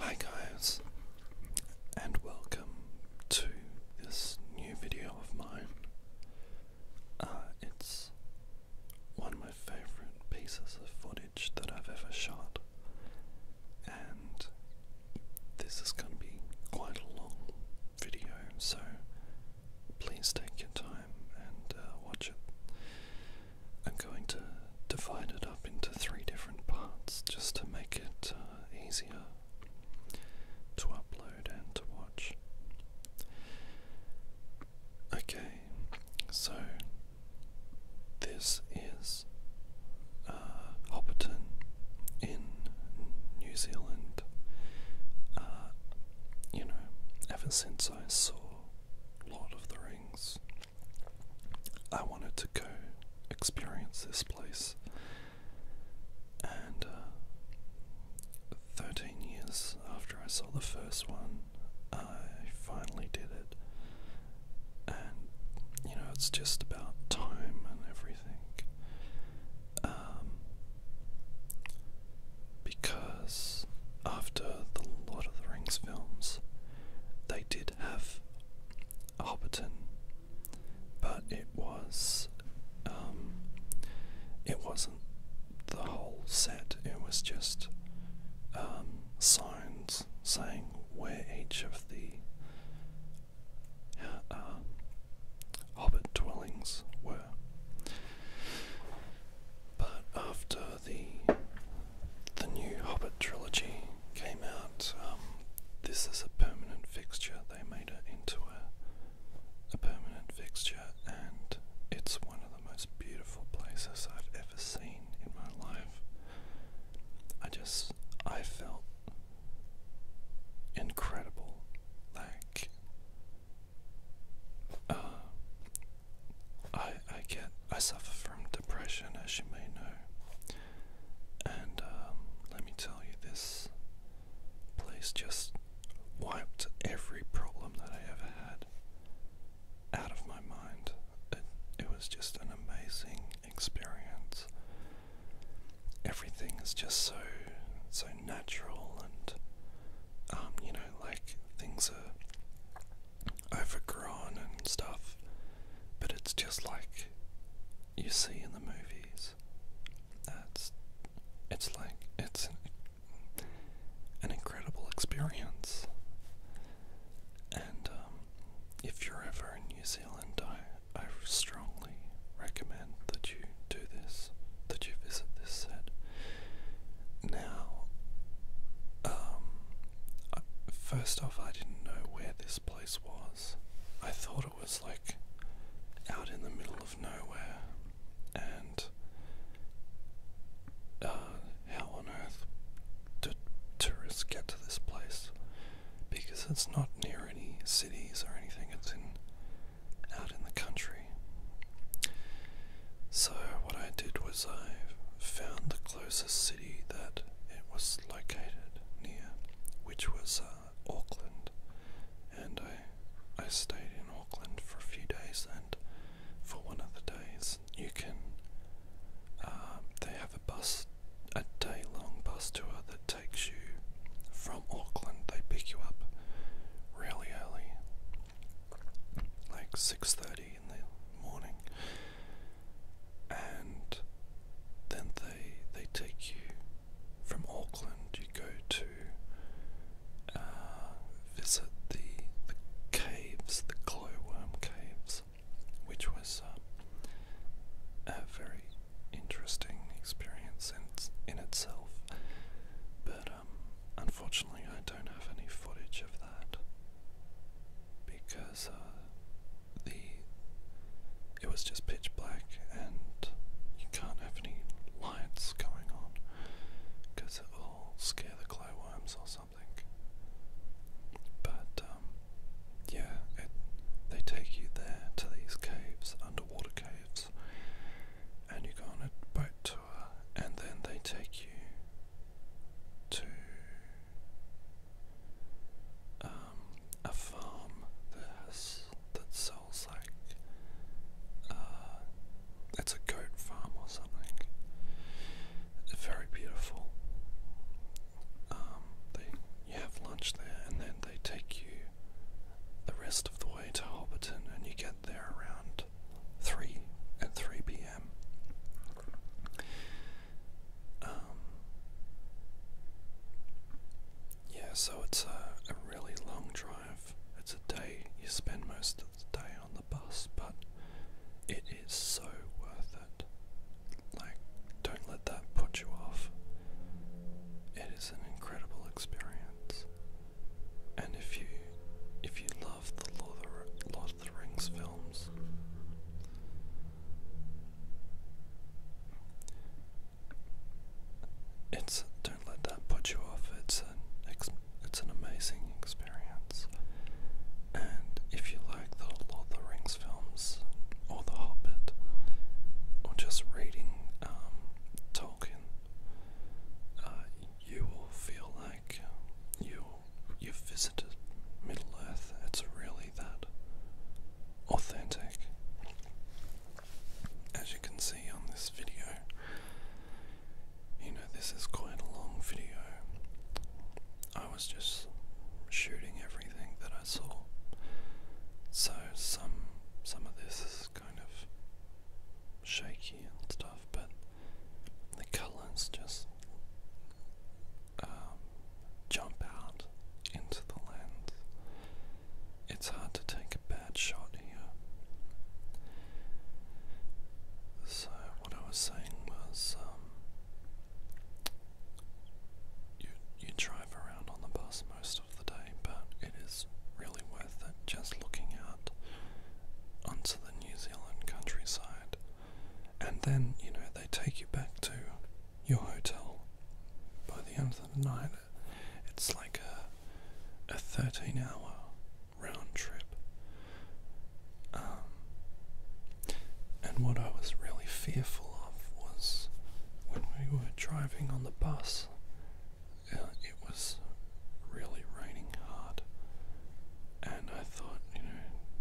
Hi guys, and welcome to this new video of mine. Uh, it's one of my favourite pieces of footage that I've ever shot, and this is going to be quite a long video, so please take your time and uh, watch it. I'm going to divide it up into three different parts just to make it uh, easier to upload and to watch. Okay, so this is uh, Hobbiton in New Zealand. Uh, you know, ever since I saw Lord of the Rings, I wanted to go experience this place, and uh, 13 years after I saw the first one, I finally did it. And you know, it's just about time and everything. Um, because after the Lord of the Rings films, they did have a Hobbiton, but it was um, it wasn't the whole set. It was just um, signs saying where each of the uh, Hobbit dwellings were. But after the the new Hobbit trilogy came out, um, this is a permanent fixture. They made it into a a permanent fixture, and it's one of the most beautiful places I've ever seen in my life. I just I felt incredible, like. Uh, I I get I suffer from depression, as you may know, and um, let me tell you, this place just wiped every problem that I ever had out of my mind. It it was just an amazing experience. Everything is just so so natural and um, you know, like things are overgrown and stuff, but it's just like you see in the movies. That's it's like it's an, incredible experience. And um, if you're ever in New Zealand, I I strongly recommend that you do this, that you visit this set. Now, um, first off, I didn't know where this place was. I thought it was like out in the middle of nowhere, and uh, how on earth did tourists get to this place? Because it's not near any cities or anything. It's in out in the country. So, what I did was I found the closest city that it was located near, which was uh, Auckland, and I I stayed in Auckland for a few days, and for one of the days you can uh, they have a bus a day long bus tour that takes you from Auckland. They pick you up really early like 6.30 in the morning and then they they take you from Auckland you go to uh, visit the, the caves, the glowworm caves, which was um, a very interesting experience in, in itself. But um, unfortunately, I don't have any footage of that because uh, the it was just pitch black and you can't have any lights going on because it will scare the glowworms or something. But um, yeah, they take you there to these caves, underwater caves, and you go on a boat tour, and then they take you to um, a farm that has that sells like uh, it's a goat farm or something. It's Very beautiful. Um, you have lunch there, and then they take you the rest of the way to Hobbiton, and you get there around 3 at 3 p.m. Um, yeah, so it's a, a really long drive. It's a day, you spend most of the day on the bus, but it is so worth it. Like, don't let that put you off. It is an incredible experience. And if you if you love the Lord of the, Rings films, it's don't let that put you off. It's an it's an amazing experience. And if you like the Lord of the Rings films or The Hobbit, or just reading um, Tolkien, uh, you will feel like you you've visited Middle Earth. It's really that authentic. As you can see on this video, you know this is quite a long video. I was just shooting everything that I saw. So some some of this kind of shaky and stuff, but the colors just um, jump out into the lens. It's hard to take a bad shot here. So, what I was saying was um, you, you drive around on the bus most of the day, but it is really worth it just looking out onto the New Zealand countryside. And then, you know, they take you back to your hotel by the end of the night. It's like a, a 13 hour round trip. Um, and what I was really fearful of was when we were driving on the bus it was really raining hard, and I thought, you know,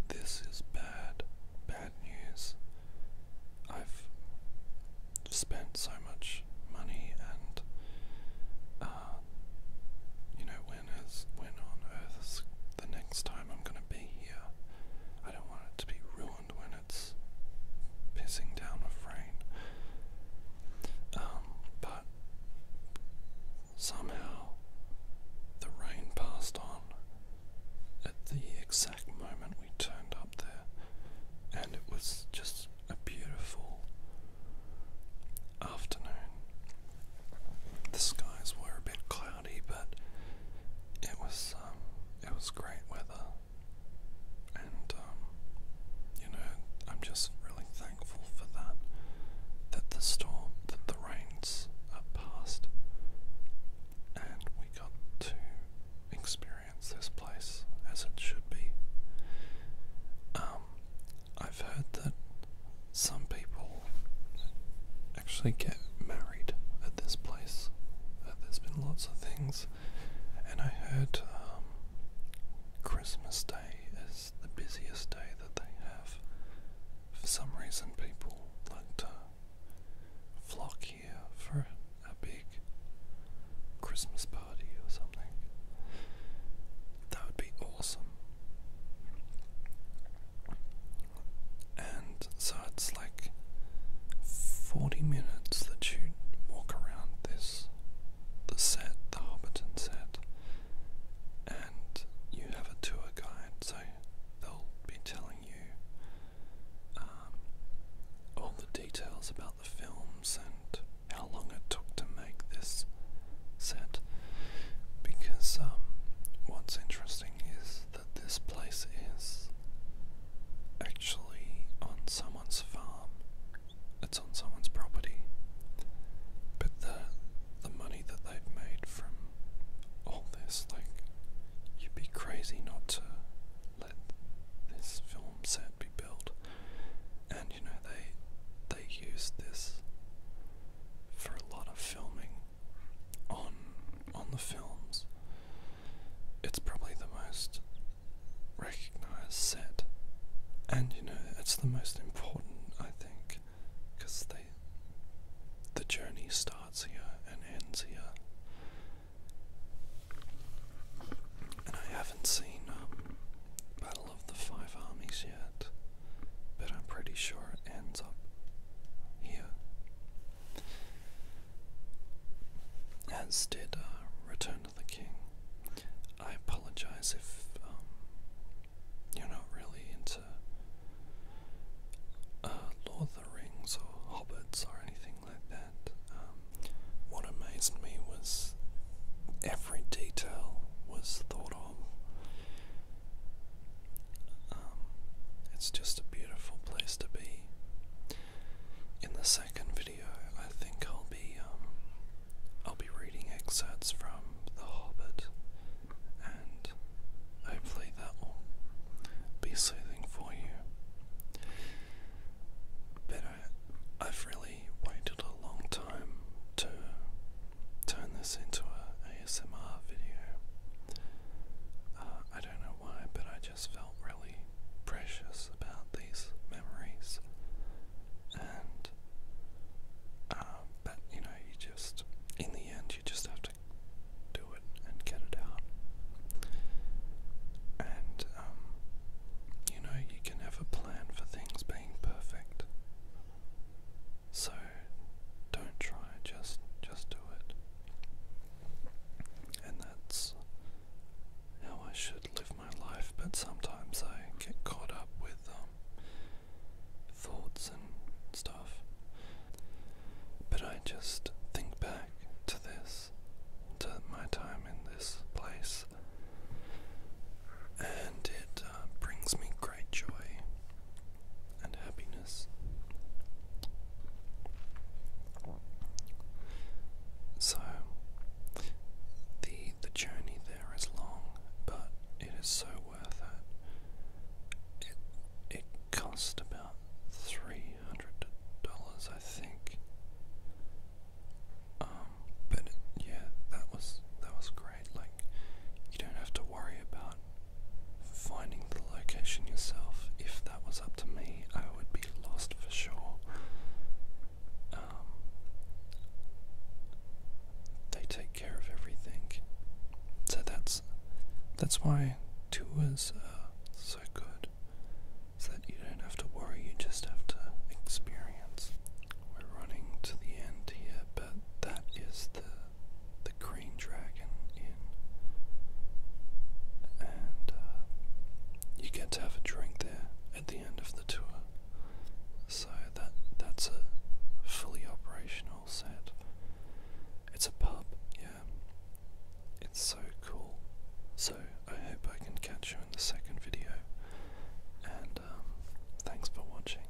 this is bad, bad news. I've spent so much money, and uh, you know, when is when on earth the next time I'm gonna be here? I don't want it to be ruined when it's pissing down with rain. Um, but somehow the rain passed on at the exact moment we turned up there, and it was just a beautiful afternoon. The skies were a bit cloudy, but it was um, it was great weather and um, you know, I'm just really thankful for that. That the storm, that the rains are past, and we got to experience this place as it should be. Um, I've heard that some people actually get married at this place. Uh, there's been lots of things and I heard um, Christmas Day is the busiest day that they have. For some reason, people like to flock here for a big Christmas party or something. That would be awesome. And so it's like 40 minutes that you walk around this the set, the Hobbiton set, and you have a tour guide, so they'll be telling you um, all the details about the films and how long it took to make this set. Because um, what's interesting is that this place is actually on someone's farm. It's on someone's property. But the the money that they've made from all this, like you'd be crazy not to let this film set be built. And you know they they used this for a lot of filming on on the films it's probably the most recognized set, and you know, it's the most important, I think, because they the journey starts here and ends here. And I haven't seen um, Battle of the Five Armies yet, but I'm pretty sure it ends up here as did uh, Return of the King. I apologize if um, you're not really into uh, Lord of the Rings or Hobbits or anything like that. Um, what amazed me was every detail was thought of. Um, it's just a beautiful place to be in the second video, I think I'll be um, I'll be reading excerpts from The Hobbit, and hopefully that will be soothing for you. But I, have really waited a long time to turn this into an ASMR video. Uh, I don't know why, but I just just felt really precious about these memories. And, um, but you know, you just, in the end, you just have to do it and get it out. And, um, you know, you can have plan for things being perfect. So, don't try, just, just do it and that's how I should live my life, but sometimes I get caught up with um, thoughts and stuff. But I just think back to this, to my time in this place, and it uh, brings me great joy and happiness. So the the journey there is long, but it is so worth it. It it cost about three hundred dollars, I think. Um, but yeah, that was that was great. Like you don't have to worry about finding the location yourself. If that was up to me, I would be lost for sure. Um, they take care of everything, so that's that's why tours are so good, so that you don't have to worry. You just have to experience. We're running to the end here, but that is the the green dragon and uh, you get to have a drink there at the end of the tour. So that that's a fully operational set. It's a pub, yeah. It's so cool. So I hope I can catch you in the second video. And um, thanks for watching.